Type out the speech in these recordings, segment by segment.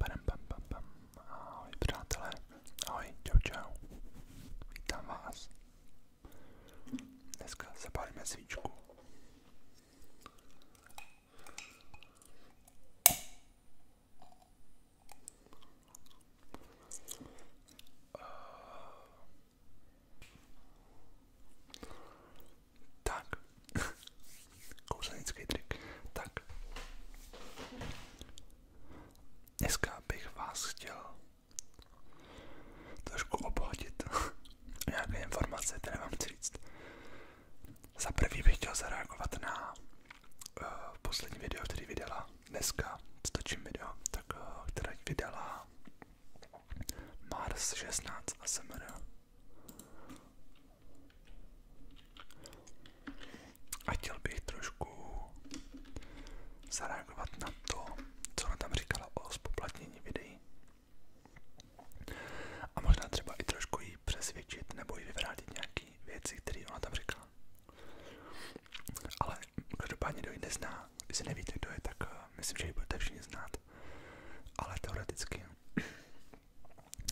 Padam, pam, pam, pam. Ahoj přátelé, ahoj, čau čau, vítám vás. Dneska zapálíme svíčku. Tak. Kouzenický trik. Tak. Dneska bych vás chtěl trošku obohatit nějaké informace, které vám říct. Za prvý bych chtěl zareagovat na eh, poslední video, který vydala dneska, stočím video, tak uh, eh, která vydala Mars 16 a a chtěl bych trošku zareagovat na to, co ona tam říkala o spoplatnění videí. A možná třeba i trošku jí přesvědčit nebo jí vyvrátit nějaké věci, které ona tam říkala. Ale každopádně kdo ji nezná, jestli nevíte, kdo je, tak eh, myslím, že ji budete všichni znát. Ale teoreticky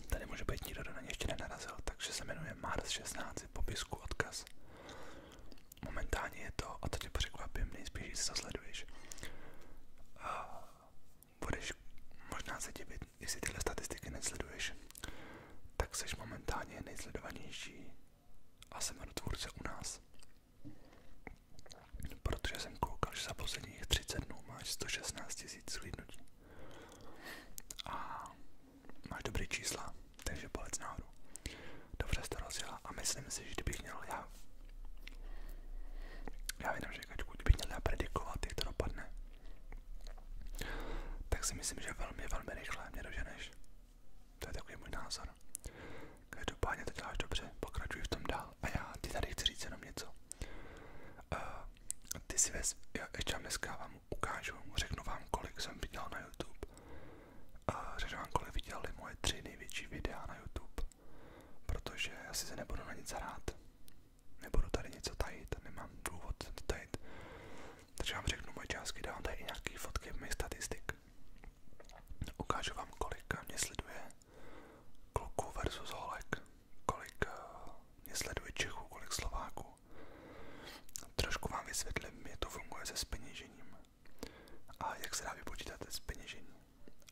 Tady může být nikdo, kdo na ně ještě nenarazil, takže se jmenuje Mars 16, popisku odkaz. Momentálně je to, a to tě překvapím, nejspíš si to sleduješ. A budeš možná se divit, jestli tyhle statistiky nesleduješ, tak jsi momentálně nejsledovanější a jsem tvůrce u nás. Protože jsem koukal, že za posledních 30 dnů máš 116 tisíc zhlídnutí. A máš dobrý čísla, takže palec nahoru. Dobře jsi to rozjela a myslím si, že kdybych měl já... Já vím, že kačku, kdybych měl já predikovat, jak to dopadne, tak si myslím, že velmi, velmi rychle mě doženeš. To je takový můj názor. Každopádně to děláš dobře, pokračuj v tom dál. A já ti tady chci říct jenom něco. Uh, ty si vez, jo, ještě vám dneska vám ukážu, řeknu vám, kolik jsem viděl na YouTube. A řeknu vám, kolik viděli moje tři největší videa na YouTube. Protože asi se nebudu na nic hrát. Nebudu tady něco tajit, nemám důvod to tajit. Takže vám řeknu moje částky, dám tady i nějaký fotky mých statistik. Ukážu vám, kolik mě sleduje kluků versus holek kolik eh, mě sleduje Čechů, kolik Slováků. Trošku vám vysvětlím, jak to funguje se speněžením a jak se dá vypočítat speněžení.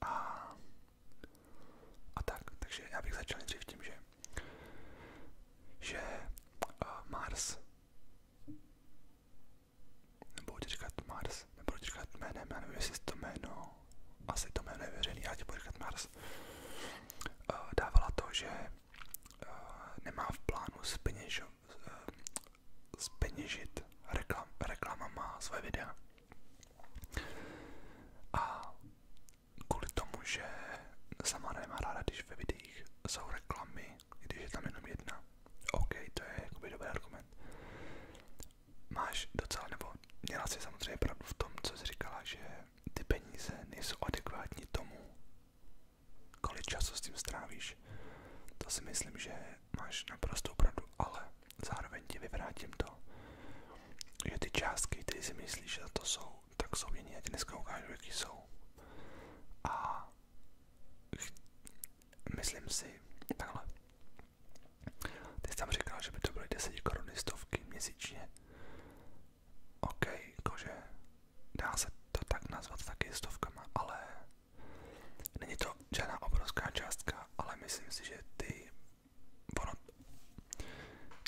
A, a tak, takže já bych začal nejdřív tím, že, že uh, Mars, nebudu ti říkat Mars, nebudu ti říkat jménem, já nevím, jestli to jméno, asi to jméno je veřejný, já ti budu říkat Mars. Eh, dávala to, že eh, nemá v plánu zpeněžo, eh, zpeněžit reklam, reklamama své videa. A kvůli tomu, že sama nemá ráda, když ve videích jsou reklamy, když je tam jenom jedna. OK, to je jakoby dobrý argument. Máš docela, nebo měla si samozřejmě pravdu v tom, co jsi říkala, že ty peníze nejsou adekvátní tomu, kolik času s tím strávíš. To si myslím, že máš naprosto pravdu, ale zároveň ti vyvrátím to, že ty částky, které si myslíš, že to jsou, tak jsou jiné. Já ti dneska ukážu, jaký jsou. A myslím si, takhle. Ty jsi tam říkal, že by to byly 10 koruny stovky měsíčně. OK, jakože dá se to tak nazvat taky stovkama, ale není to žádná obrovská částka, ale myslím si, že ty, ono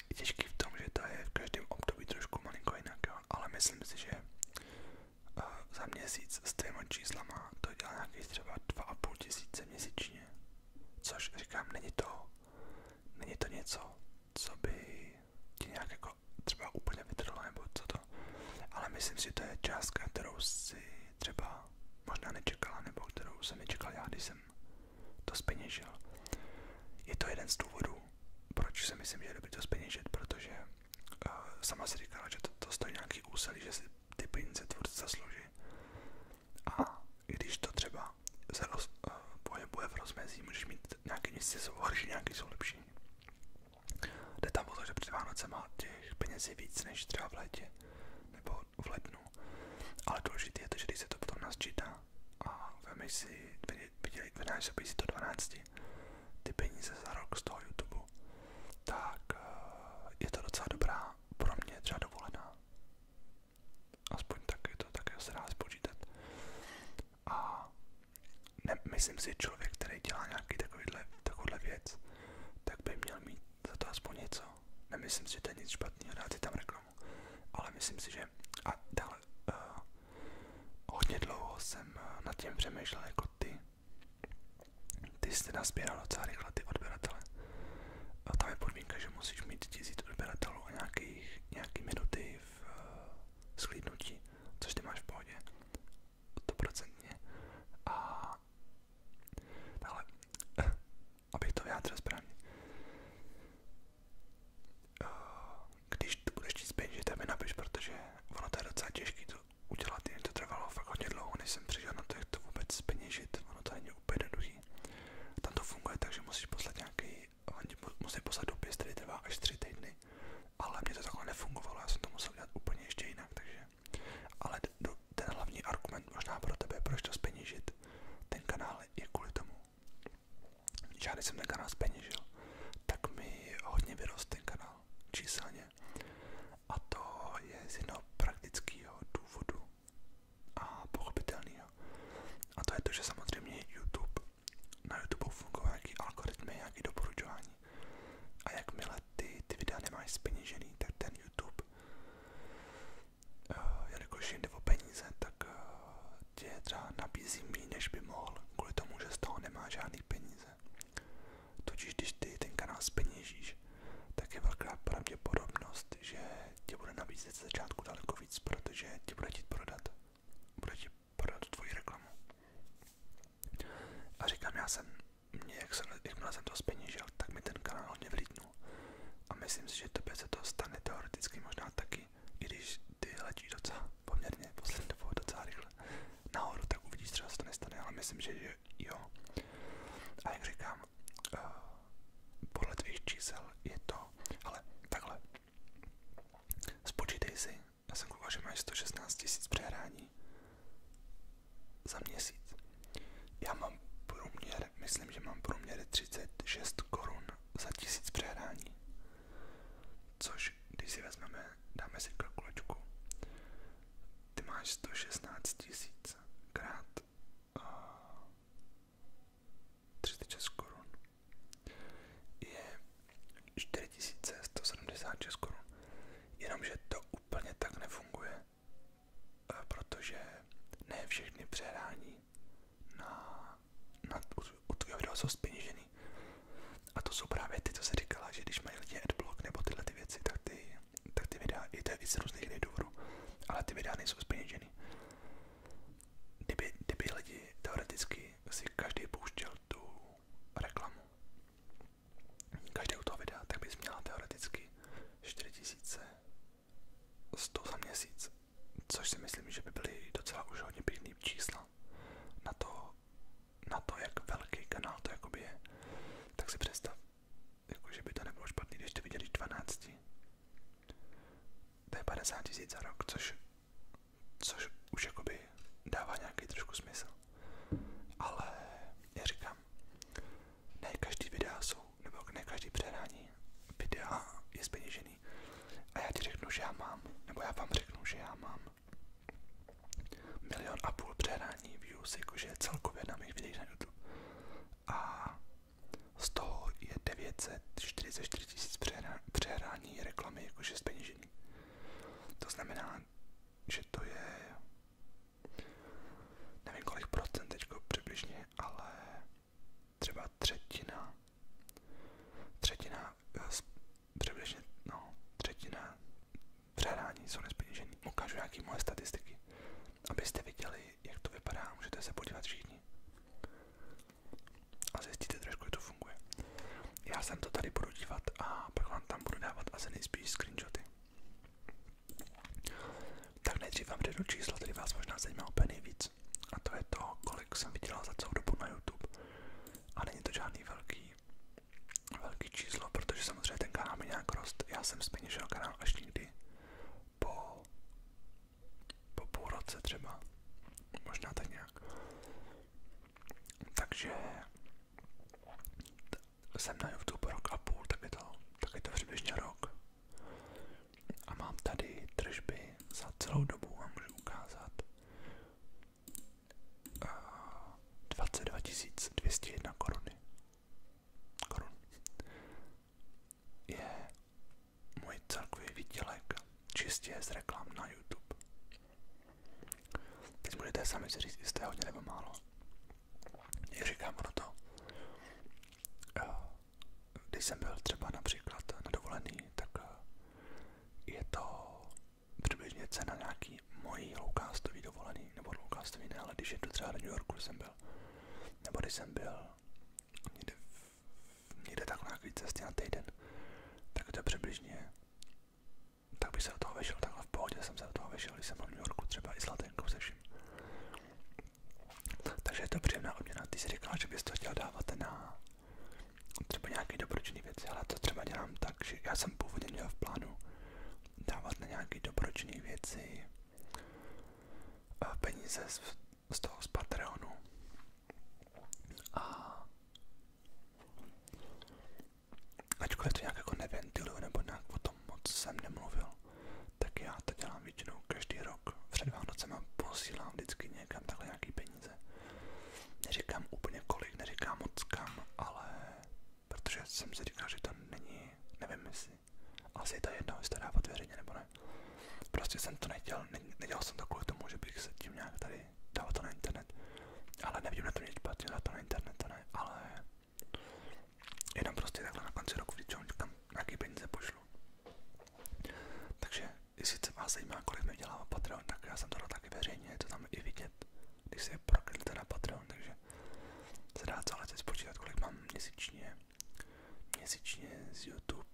je těžký v tom, že to je v každém období trošku malinko jinak, jo? ale myslím si, že uh, za měsíc s těma číslama to dělá nějakých třeba 2,5 tisíce měsíčně, což říkám, není to, není to něco, co by ti nějak jako třeba úplně vytrhlo nebo co to. Ale myslím si, že to je částka, kterou si třeba možná nečekala, nebo kterou jsem nečekal já, když jsem to speněžil. Je to jeden z důvodů, proč si myslím, že je dobrý to speněžit, protože uh, sama si říkala, že to, to stojí nějaký úsilí, že si ty peníze tvůrce zaslouží. A když to třeba se roz, uh, pohybuje v rozmezí, můžeš mít nějaké měsíce jsou horší, nějaké jsou lepší. Jde tam o to, že před Vánoce má těch peněz víc než třeba v létě nebo v lednu. Ale důležité je to, že když se to potom nasčítá a vemeš si, vynásobí si to 12, ty peníze za rok z toho YouTube, tak eh, je to docela dobrá pro mě třeba dovolená. Aspoň tak je to také se spočítat. A ne, myslím si, člověk, který dělá nějaký takovýhle, takovouhle věc, tak by měl mít za to aspoň něco. Nemyslím si, že to je nic špatného dát si tam reklamu, ale myslím si, že a dále uh, eh, hodně dlouho jsem eh, nad tím přemýšlel jako ty. Ty jste nasbíral docela rychle ty odběratele. A tam je podmínka, že musíš mít tisíc odběratelů a nějaký nějaký minuty v eh, což ty máš v pohodě, A ale, abych to vyjádřil správně. Eh, když to chtít zpět, že tebe napiš, protože ono to je docela těžký to udělat, jen to trvalo fakt hodně dlouho, než jsem přišel na to, jak to vůbec peněžit, ono to není úplně jednoduchý. Tam to funguje tak, že musíš poslat nějaký mi, oni musí poslat dopis, který trvá až tři týdny, ale mě to takhle nefungovalo, já jsem to musel dělat úplně ještě jinak, takže, ale ten hlavní argument možná pro tebe, proč to speněžit, ten kanál je kvůli tomu, že já když jsem ten kanál speněžil, tak mi hodně vyrost ten kanál číselně a to je z jednoho praktického důvodu a pochopitelného. A to je to, že samozřejmě YouTube na YouTube fungují nějaký algoritmy, nějaké doporučování. A jakmile ty, ty videa nemáš speněžený, tak ten YouTube, uh, jelikož jinde o peníze, tak uh, tě třeba nabízí méně, než by mohl, kvůli tomu, že z toho nemá žádný peníze. Totiž když ty ten kanál speněžíš, tak je velká pravděpodobnost, že tě bude nabízet ze začátku daleko víc, protože ti bude chtít prodat bude ti podat tvoji reklamu. A říkám, já jsem, mě, jak jsem, jakmile jsem to zpeněžil, tak mi ten kanál hodně vlítnul. A myslím si, že tobě se to stane teoreticky možná taky, i když ty letíš docela poměrně poslední dobou docela rychle nahoru, tak uvidíš, třeba se to nestane, ale myslím, že jo. A jak říkám, eh, podle tvých čísel je to, ale takhle, Spočítej si, já jsem koukal, že máš 116 tisíc přehrání za měsíc. Já mám průměr, myslím, že mám průměr 36 korun za tisíc přehrání. Což, když si vezmeme, dáme si kalkulačku, ty máš 116 tisíc krát uh, 36 korun je 4176 korun. Jenomže to úplně tak nefunguje, eh, protože ne všechny přehrání na, na, u tvého videa jsou speněžený. A to jsou právě ty, co se říkala, že když mají lidi adblock nebo tyhle ty věci, tak ty, tak ty videa, i to je víc různých důvodů, ale ty videa nejsou speněžený kdyby, kdyby lidi teoreticky si každý pouštěl tu reklamu, každý u toho videa, tak bys měla teoreticky 4100 za měsíc, což si myslím, že by byly docela už hodně pěkný čísla na to, na to, jak velký kanál to jakoby je, tak si představ, jakože by to nebylo špatný, když ty viděli 12. To je 50 za rok, což což už jakoby dává nějaký trošku smysl. Ale já říkám, ne každý videa jsou, nebo ne každý předání videa je zpeněžený. A já ti řeknu, že já mám, nebo já vám řeknu, že já mám milion a půl přehrání views, jakože celkově na mých videích na YouTube. A z toho je 944 tisíc přehrání digitální reklamy, jakože z peněžení. To znamená, že to je, nevím kolik procent teďko přibližně, ale třeba třetina, třetina, eh, přibližně, no, třetina přehrání jsou nespeněžený. Ukážu nějaké moje statistiky, abyste viděli, jak to vypadá, můžete se podívat všichni a zjistíte trošku, jak to funguje. Já jsem to tady budu dívat a pak vám tam budu dávat asi nejspíš screenshoty. Tak nejdřív vám řeknu číslo, který vás možná zajímá úplně nejvíc. A to je to, kolik jsem vydělal za celou dobu na YouTube. A není to žádný velký, velký číslo, protože samozřejmě ten kanál mi nějak rost. Já jsem zpeněžil kanál až nikdy po, po půl roce třeba. Možná tak nějak. Takže jsem na YouTube rok a půl, tak je to, tak je to přibližně rok. A mám tady tržby za celou dobu, vám můžu ukázat. 22 eh, 201 koruny. Korun. Je můj celkový výdělek čistě z reklam na YouTube. Teď budete sami si říct, jestli je hodně nebo málo. Jak říkám, ono to. Eh, když jsem byl třeba například na dovolený, tak eh, je to přibližně cena nějaký mojí loukástový dovolený, nebo loukástový ne, ale když jedu třeba do New Yorku, jsem byl, nebo když jsem byl někde někde tak na nějaké cestě na týden, tak to je přibližně, tak bych se do toho vešel, takhle v pohodě jsem se do toho vešel, když jsem byl v New Yorku třeba i s latenkou se vším. Takže je to příjemná odměna. Ty si říkala, že bys to chtěl dávat na třeba nějaké dobročinné věci, ale to třeba dělám tak, že já jsem původně měl v plánu dávat na nějaké dobročinné věci eh, peníze z, z toho z Patreonu. A Ačkoliv to nějak jako nebo nějak o tom moc jsem nemluvil, tak já to dělám většinou každý rok. Před Vánocema posílám vždycky někam takhle nějaký peníze. Neříkám úplně kolik, neříkám moc kam, ale protože jsem si říkal, není, nevím jestli, asi je jedno, jestli to dávat nebo ne. Prostě jsem to nedělal, nedělal jsem to kvůli tomu, že bych se tím nějak tady nevím, dalo to na internet. Ale nebudeme to mít špatně, dalo to na internet, to ne, ale jenom prostě takhle na konci roku vždycky kam nějaký peníze pošlu. Takže jestli se vás zajímá, kolik mi dělá Patreon, tak já jsem to dal taky veřejně, je to tam i vidět, když se prokliknete na Patreon, takže se dá celé si spočítat, kolik mám měsíčně, měsíčně z YouTube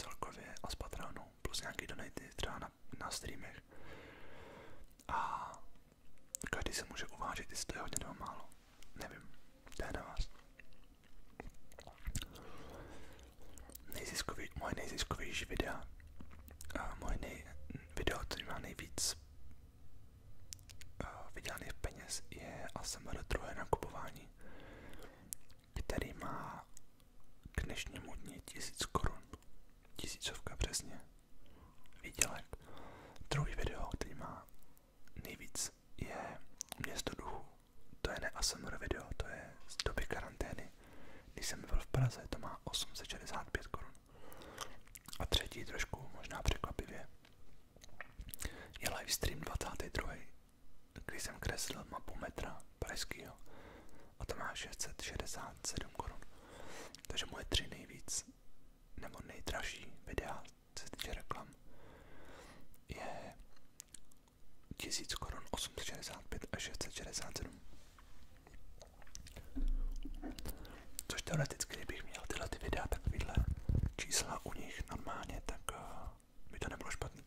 celkově a z Patreonu plus nějaký donaty třeba na, na streamech. A každý se může uvážit, jestli to je hodně nebo málo. Nevím, to je na vás. Nejziskový, moje nejziskovější videa, a moje nej, video, který má nejvíc vydělaných peněz, je ASMR druhé nakupování který má k dnešnímu dni 1000 korun, tisícovka přesně, výdělek. Druhý video, který má nejvíc, je Město duchů. To je ne ASMR video, to je z doby karantény. Když jsem byl v Praze, to má 865 korun. A třetí trošku, možná překvapivě, je livestream 22. Když jsem kreslil mapu metra pražského a to má 660 7 korun. Takže moje tři nejvíc, nebo nejdražší videa, co se týče reklam, je 1000 korun 865 a 667. Což teoreticky, kdybych měl tyhle ty videa, takovýhle čísla u nich normálně, tak eh, by to nebylo špatný.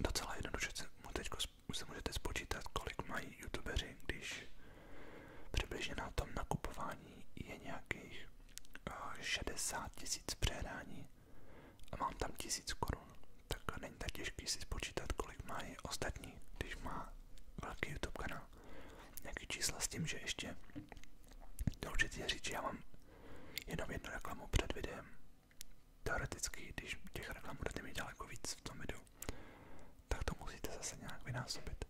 Docela jednoduše mu teď už se můžete spočítat, kolik mají youtubeři, když přibližně na tom nakupování je nějakých 60 eh, tisíc přehrání a mám tam tisíc korun. Tak není tak těžký si spočítat, kolik mají ostatní, když má velký YouTube kanál. Nějaký čísla s tím, že ještě důležité je říct, že já mám jenom jednu reklamu před videem, Teoreticky, když těch reklam budete mít daleko víc v tom videu, tak to musíte zase nějak vynásobit.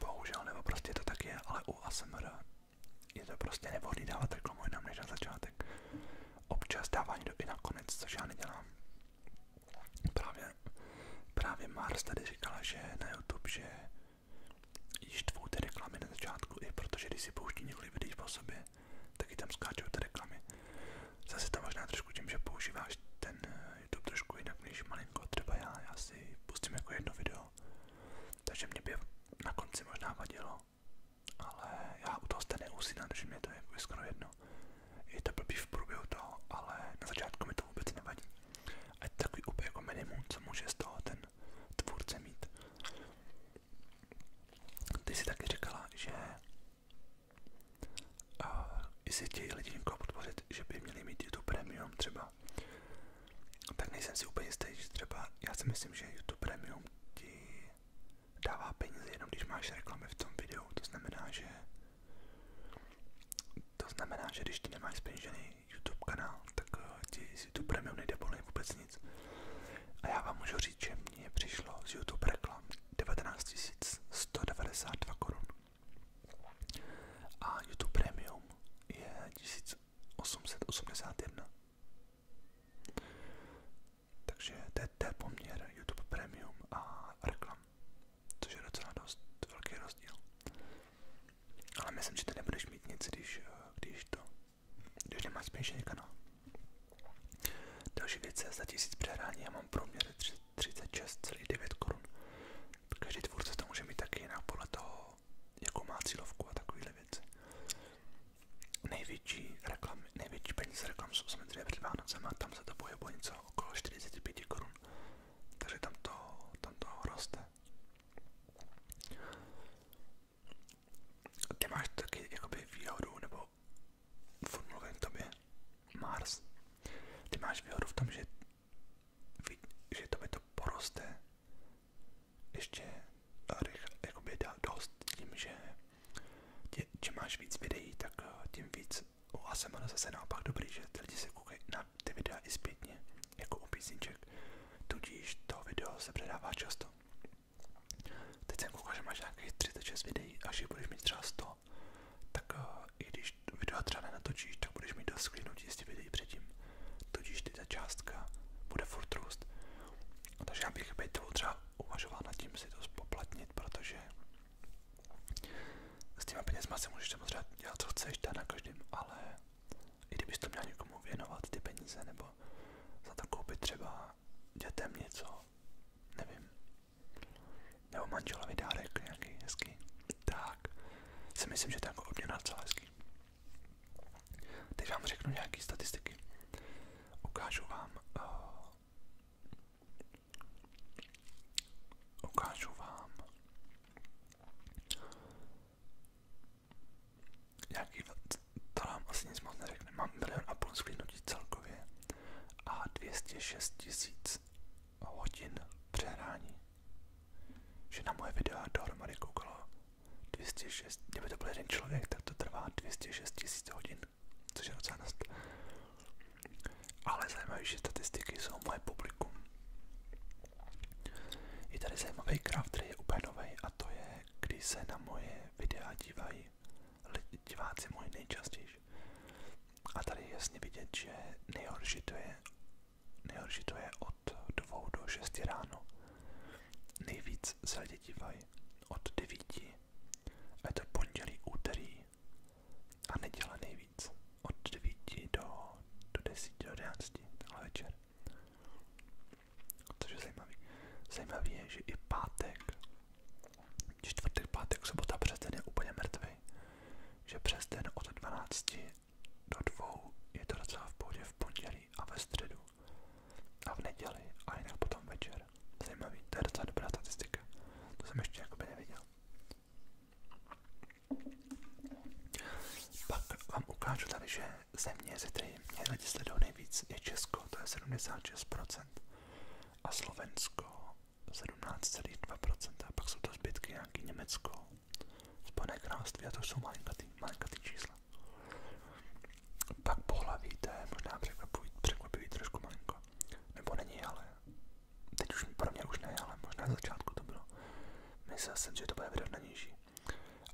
Bohužel, nebo prostě to tak je, ale u ASMR je to prostě nevhodný dávat reklamu jinam než na začátek. Občas dávání do i na konec, což já nedělám. Právě, právě Mars tady říkala, že na YouTube, že již tvou ty reklamy na začátku, je protože když si pouští několik videí po sobě, taky tam skáčou ty reklamy. Zase to možná trošku tím, že používáš ten eh, YouTube trošku jinak než malinko, třeba já, já si pustím jako jedno video, takže mě by na konci možná vadilo, ale já u toho jste neusínám, takže mě to je jako skoro jedno. Je to blbý v průběhu toho, ale na začátku mi to vůbec nevadí. A je to takový úplně jako minimum, co může z toho ten tvůrce mít. Ty jsi taky říkala, že a jestli chtějí lidi někoho podpořit, že by měli mít YouTube Premium třeba, tak nejsem si úplně jistý, že třeba, já si myslím, že YouTube Premium ti dává peníze jenom když máš reklamy v tom videu, to znamená, že to znamená, že když ty nemáš zpeněžený YouTube kanál, tak eh, ti z YouTube Premium nejde volně vůbec nic. A já vám můžu říct, že mně přišlo z YouTube reklam 19 192 korun. A YouTube Premium je 1881. Takže to je ten poměr YouTube Premium a reklam, což je docela dost velký rozdíl. Ale myslím, že ty nebudeš mít nic, když, eh, když to, když nemáš spíš kanál. Další věc je za 1000 přehrání, já mám průměr 36,9 korun. Každý tvůrce to může mít taky jinak podle a takovéhle věci. Největší, reklamy, největší peníze reklam jsou samozřejmě před Vánocem a tam se to 45 korun. Takže tam to, tam to roste. Ty máš taky jakoby výhodu nebo pro Formule k tobě Mars. máš výhodu v tom, že, že to poroste ještě jakoby dost tím, že máš víc videí, tak eh, tím víc u ASMR zase naopak že lidi se koukají na ty videa i jako u písniček, tudíž to video se předává často. Teď jsem koukal, že máš nějakých 36 videí, až je budeš mít třeba 100, tak eh, i když video třeba nenatočíš, tak budeš mít dost sklinutí z těch videí předtím. Tudíž ty ta částka bude furt růst. Takže já bych bejtovou třeba uvažoval nad tím si to spoplatnit, protože s těma penězma si můžeš samozřejmě dělat, co chceš, to na každém, ale i kdybys to měl někomu věnovat ty peníze, nebo za to koupit třeba dětem něco, nevím, nebo manželovi dárek nějaký hezký. Tak si myslím, že to je jako obměna docela hezký. Teď vám řeknu nějaké statistiky. Ukážu vám eh, ukážu vám nějaký to nám asi nic Mám a půl zhlídnutí celkově a 206 tisíc hodin přehrání. Že na moje videa dohromady koukalo 206, kdyby to byl jeden člověk, tak to trvá 206 tisíc hodin, což je docela dost. Ale zajímavější statistiky jsou moje publikum. Je tady zajímavý graf, který je úplně nový, a to je, když se na moje videa dívají diváci moje nejčastěji. A tady je jasně vidět, že nejhorší to je, nejhorší to je od 2 do 6 ráno. Nejvíc se lidi dívají od 9. A je to pondělí, úterý a neděle nejvíc. Od 9 do, do 10, do 11, tenhle večer. Což je zajímavé Zajímavý je, že i pátek Čtvrtek, pátek, sobota, přes den je úplně mrtvý. Že přes den od 12 do 2 je to docela v pohodě v pondělí a ve středu a v neděli a jinak potom večer. Zajímavý, to je docela dobrá statistika. To jsem ještě jakoby neviděl. Pak vám ukážu tady, že země, ze které mě lidi sledují nejvíc, je Česko, to je 76%, a Slovensko 17,2%, pak jsou to zbytky nějaký Německo, Spojené království a to jsou malinkatý, malinkatý čísla. Pak pohlaví, to je možná překvapivý, překvapivý trošku malinko. Nebo není, ale teď už pro mě už ne, ale možná na začátku to bylo. Myslel jsem, že to bude vyrovnanější.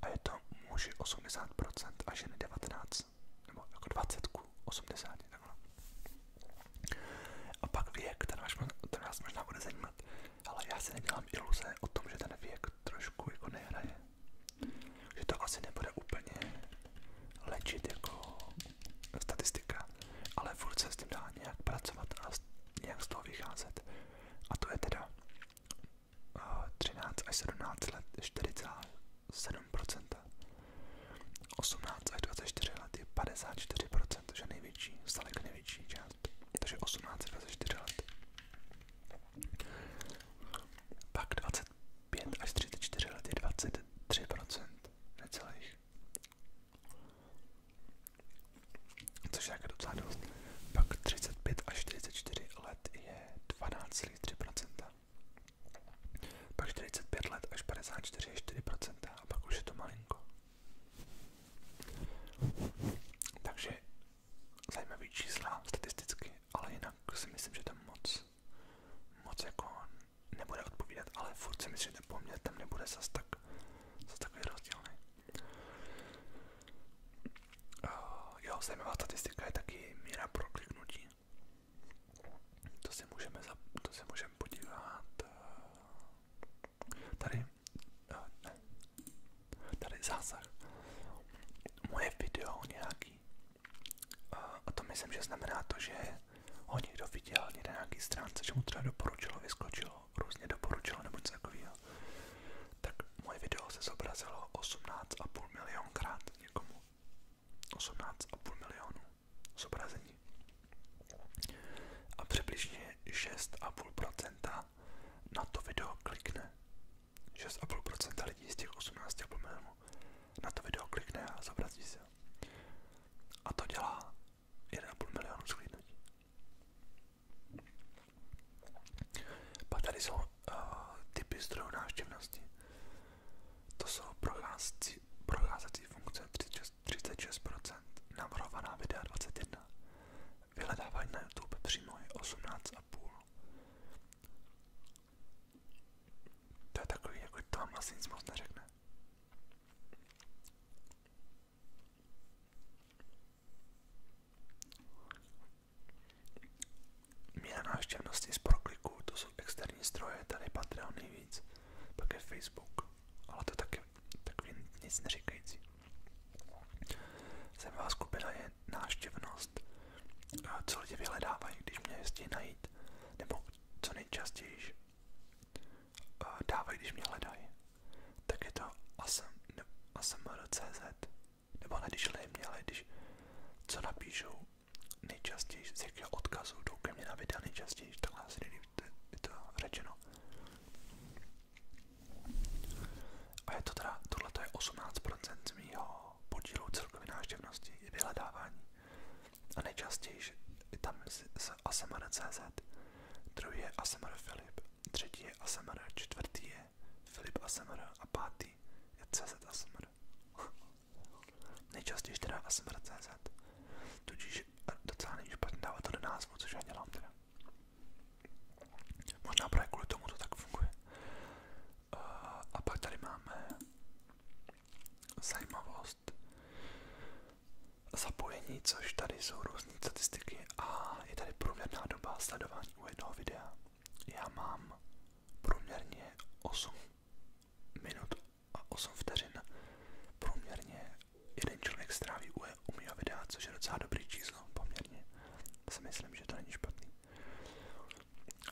A je to muži 80% a ženy 19, nebo jako 20 roku 80. Takhle. A pak věk, ten vás, ten vás možná bude zajímat, ale já si nedělám iluze o tom, že ten věk trošku jako nehraje. Že to asi nebude úplně léčit jako statistika, ale furt se s tím dá nějak pracovat a nějak z toho vycházet. A to je teda 13 eh, až 17 let 4,7 57%. 18 až 24 let je 54%, což je největší, zdaleka největší část. Takže 18 až 24 let. Pak 25 až 34 let je 23%, necelých. Což je také docela dost. Pak 35 až 44 let je 12,3%. Pak 45 let až 54 je 4% a pak už je to malinko. Takže zajímavý čísla statisticky, ale jinak si myslím, že to moc, moc jako nebude odpovídat, ale furt si myslím, že ten poměr tam nebude zas, tak, zas takový rozdílný. Eh, zajímavá statistika je taky míra prokliknutí. To se můžeme, za, to se můžeme podívat. Eh, tady, eh, ne, tady zásah. Moje video nějaký. Eh, a to myslím, že znamená to, že ho někdo viděl někde na nějaký stránce, že mu třeba doporučilo, vyskočilo, různě doporučilo nebo něco takového. Tak moje video se zobrazilo 18,5 milionkrát někomu. 18,5 milionů zobrazení a přibližně 6,5% na to video klikne. 6,5% lidí z těch 18,5 milionů na to video klikne a zobrazí se. A to dělá 1,5 milionu sklidnutí. Pak tady jsou uh, typy zdrojů návštěvnosti. To jsou procházci, procházecí, procházecí funkce 36%, 36% navrhovaná videa 21%, vyhledávání na YouTube přímo je 18,5%. To je takový, jako to vám vlastně nic moc neřekne. Míra návštěvnosti z prokliků, to, jsou externí zdroje, tady Patreon nejvíc, pak je Facebook, ale to taky takový nic neříkající. Zajímavá skupina je návštěvnost, co lidi vyhledávají, když mě chtějí najít, nebo co nejčastěji dávají, když mě hledají. Tak je to asmr.cz, nebo ne, když hledají mě, ale když co napíšou nejčastěji, z jakého odkazu jdou ke mně na videa nejčastěji, takhle asi nejlíp je to řečeno. A je to teda, tohle je 18% z mýho podílu celkové návštěvnosti, je vyhledávání. A nejčastěji je tam z ASMR.cz, druhý je ASMR Filip, třetí je ASMR, čtvrtý je Filip ASMR a pátý je CZ ASMR nejčastěji teda ASMR.cz, tudíž eh, docela není špatně dávat to do názvu, což já dělám teda. Možná právě kvůli tomu to tak funguje. Eh, a pak tady máme zajímavost zapojení, což tady jsou různé statistiky a je tady průměrná doba sledování u jednoho videa. Já mám průměrně 8 minut a 8 vteřin průměrně jeden člověk stráví u e, mého videa, což je docela dobrý číslo poměrně. Si myslím, že to není špatný.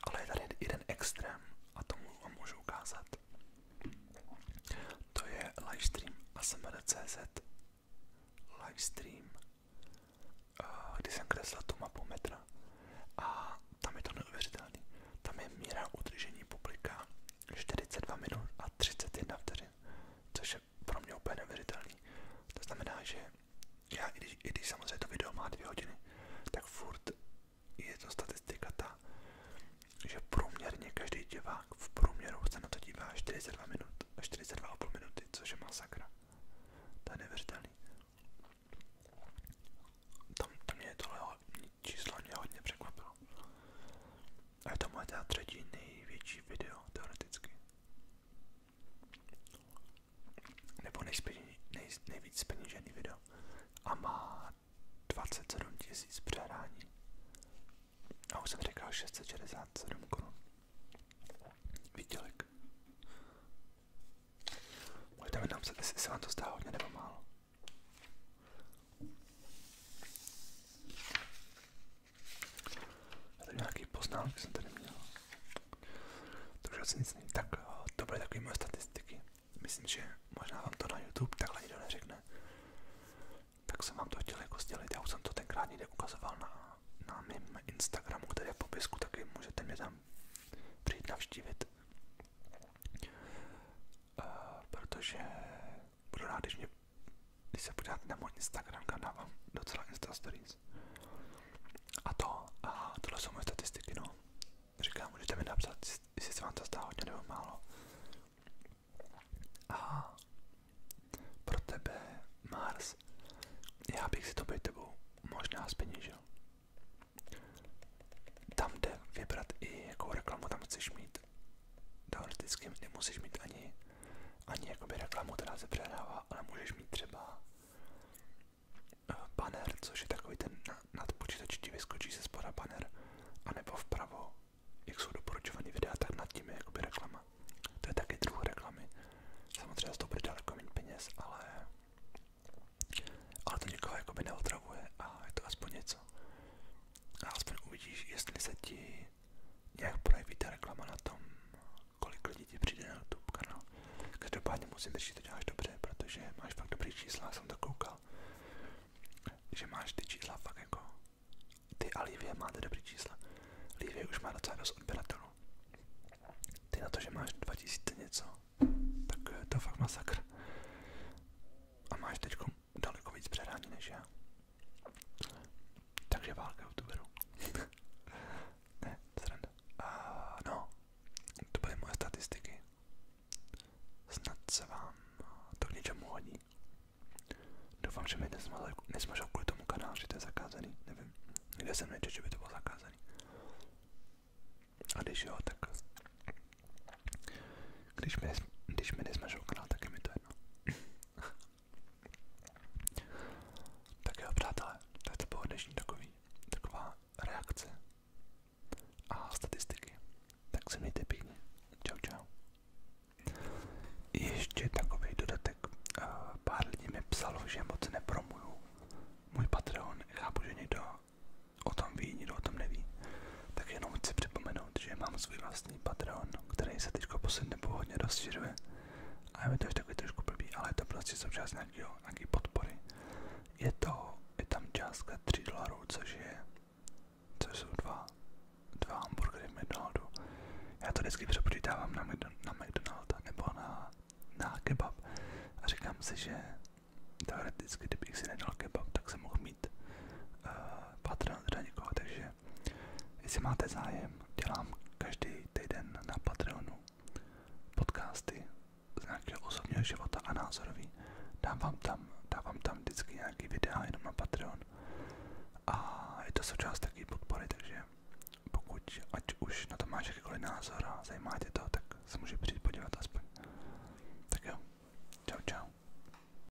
Ale je tady jeden extrém a tomu vám můžu ukázat. To je livestream asmr.cz livestream eh, kdy jsem kreslil tu mapu metra a tam je to neuvěřitelný. Tam je míra udržení publika 42 minut a 31 vteřin, což je pro mě úplně neuvěřitelný. To znamená, že já, i když, i když samozřejmě to video má dvě hodiny, tak furt je to statistika ta, že průměrně každý divák v průměru se na to dívá 42 minut a 42,5 minuty, což je masakra. To je neuvěřitelný. Tam, tam mě tohle číslo mě hodně překvapilo. A to moje teda třetí největší video, teoreticky. Nebo nejspění, nej, nejvíc peněžený video. A má 27 tisíc A už jsem říkal 667 korun. Výdělek. Můžete mi se vám to zdá hodně nebo málo. Já tady nějaký poznámky jsem tady měl. To už asi nic není. Tak eh, to byly takové moje statistiky. Myslím, že možná vám to na YouTube takhle nikdo neřekne. Tak jsem vám to chtěl jako sdělit. Já už jsem to tenkrát někde ukazoval na, na mém Instagramu, který je v popisku, taky můžete mě tam přijít navštívit. Uh, protože budu rád, když, mě, když se podíváte na můj Instagram kanál, mám docela Insta Stories. A to, a tohle jsou moje statistiky, no. Říkám, můžete mi napsat, jestli se vám to zdá hodně nebo málo. A pro tebe, Mars, já bych si to být tebou možná zpeněžil. Tam jde vybrat i jakou reklamu tam chceš mít teoreticky nemusíš mít ani, ani jakoby reklamu, která se přehrává, ale můžeš mít třeba eh, banner, což je takový ten nad počítači ti vyskočí se spoda banner, anebo vpravo, jak jsou doporučovaný videa, tak nad tím je jakoby reklama. To je taky druh reklamy. Samozřejmě z toho bude daleko méně peněz, ale, ale to nikoho jakoby neotravuje a je to aspoň něco. A aspoň uvidíš, jestli se ti nějak projeví ta reklama na tom, kolik lidí ti přijde na YouTube kanál. Každopádně musím říct, že to děláš dobře, protože máš fakt dobrý čísla, jsem to koukal. Že máš ty čísla fakt jako... Ty a Livie máte dobrý čísla. Livie už má docela dost odběratelů. Ty na to, že máš 2000 něco, tak to je fakt masakr. A máš teďko daleko víc předání než já. Takže válka youtuberů. ne, sranda. Uh, no, to byly moje statistiky. Snad se vám to k něčemu hodí. Doufám, že mi nesmažou kvůli tomu kanál, že to je zakázaný. Nevím, kde jsem nečet, že by to bylo zakázaný. A když jo, tak když mi, když mi nesmažou kanál, tak je mi to jedno. tak jo, přátelé, tak to bylo dnešní takový, taková reakce a statistiky. Tak se mějte pěkně. Čau, čau. Ještě takový dodatek. Eh, pár lidí mi psalo, že moc nepromuju můj Patreon. Chápu, že někdo o tom ví, někdo o tom neví tak jenom chci připomenout, že mám svůj vlastní Patreon, který se teď poslední nebo hodně rozšiřuje. A je mi to už takový trošku blbý, ale je to prostě součást nějakého, nějaký podpory. Je to, je tam částka 3 dolarů, což je, což jsou dva, dva hamburgery v McDonaldu. Já to vždycky přepočítávám na, na McDonalda nebo na, na kebab a říkám si, že teoreticky, kdybych si nedal kebab, tak jsem mohl mít uh, eh, patron teda někoho, takže takže jestli máte zájem, dělám každý týden na Patreonu podcasty z nějakého osobního života a názorový. Dám vám tam, dávám tam vždycky nějaký videa jenom na Patreon. A je to součást takové podpory, takže pokud ať už na to máš jakýkoliv názor a zajímá tě to, tak se může přijít podívat aspoň. Tak jo, čau